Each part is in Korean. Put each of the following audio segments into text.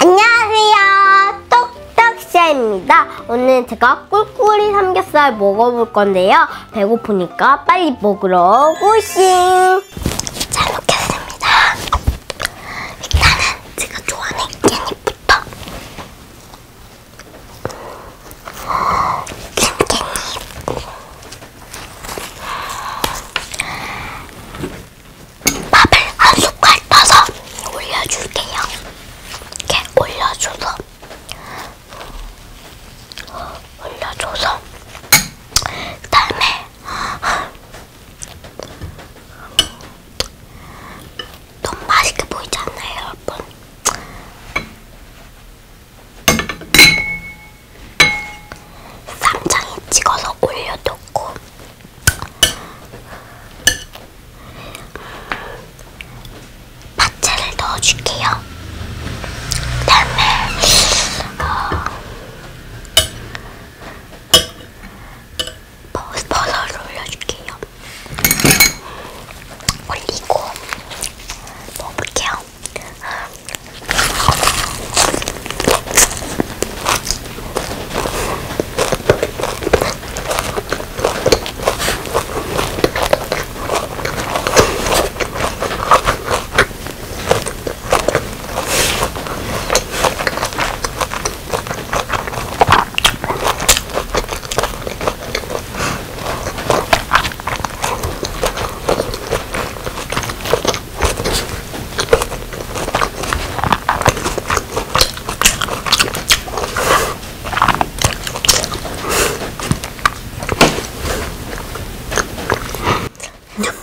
안녕하세요 똑똑샤입니다 오늘 제가 꿀꿀이 삼겹살 먹어볼 건데요 배고프니까 빨리 먹으러 고싱 잘 먹겠습니다 일단은 제가 좋아하는 깻잎부터 참깨잎 밥을 한 숟갈 떠서 올려줄게요. 이렇게 올려줘서 올려줘서 그 다음에 너무 맛있게 보이지 않나요, 여러분? 쌈장에 찍어서 올려놓고 파채를 넣어줄게요. 그 다음에 어, 버섯, 버섯을 올려줄게요. 올리고 먹어볼게요. 음,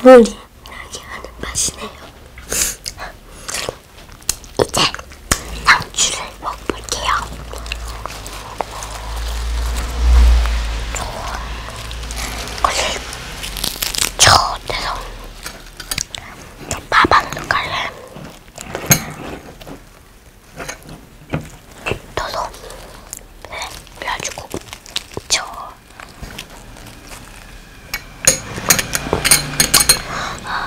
눈물이 나게 하는 맛이네요. 이제 상추를 먹어볼게요. 원래 저 대성 밥안도 갈래. 너도 네, 뼈주고 저. 아,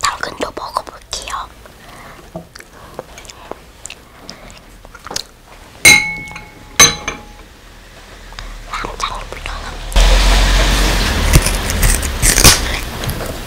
당근도 먹어볼게요. 당장이 불어합니다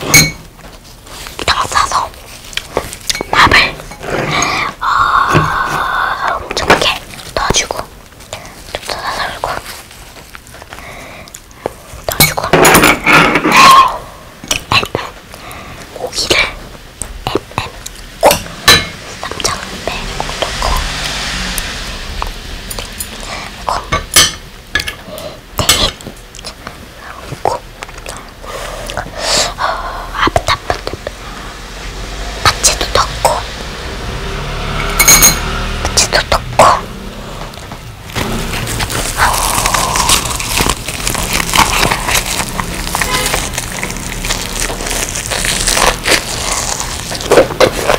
깻잎을 덩싸서 밥을 어, 엄청 크게 넣어주고 좀 쏟아서 올고 넣어주고 앱앱 고기를 앱앱 고 쌈장 빼고 네, 넣고 고, 대, 고, 앞다파트, 파츠도 넣고, 파츠도 넣고,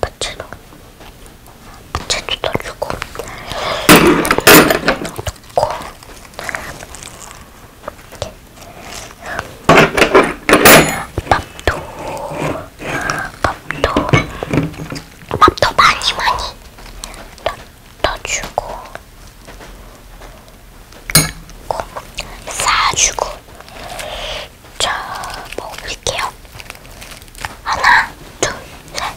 부채도 부채도 넣어주고 넣고 이렇게 밥도 밥도 밥도 많이 많이 넣, 넣어주고 꼭 싸주고 저 먹을게요. 하나, 둘, 셋.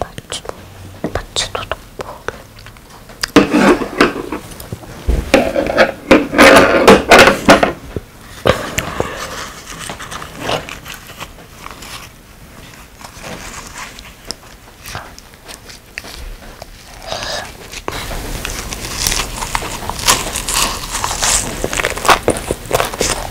パチッパチッと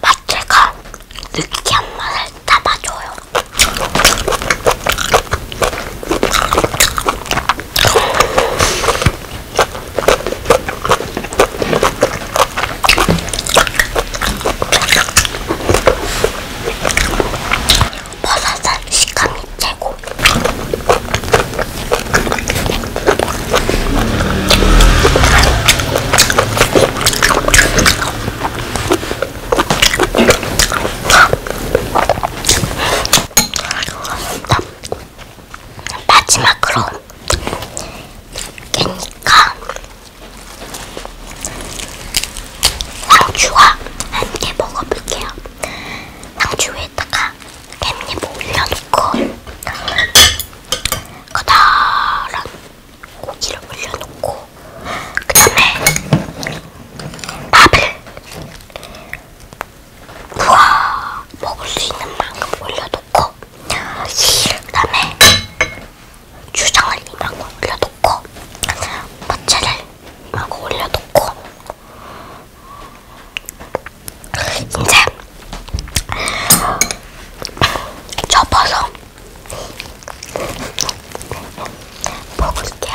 맛제가 느끼한 맛을 담아줘요. 버섯은 식감이 최고. 마지막으로 깨니까 그러니까 상추와 함께 먹어볼게요. 상추 위에다가 깻잎 올려놓고 커다란 고기를 올려놓고 그 다음에 밥을 우와 먹을 수 있는 만큼 올려놓고 그 다음에 주장을 이만큼 올려놓고 파채를 이만큼 올려놓고 이제 접어서 먹을게요.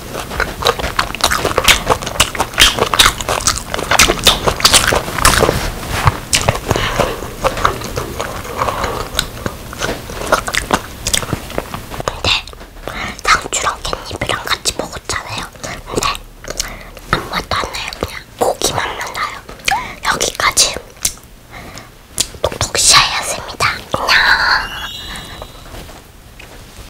근데 상추랑 깻잎이랑 같이 먹었잖아요. 근데 아무것도 안 나요. 그냥 고기만만 나요. 여기까지 똑똑시아였습니다. 안녕.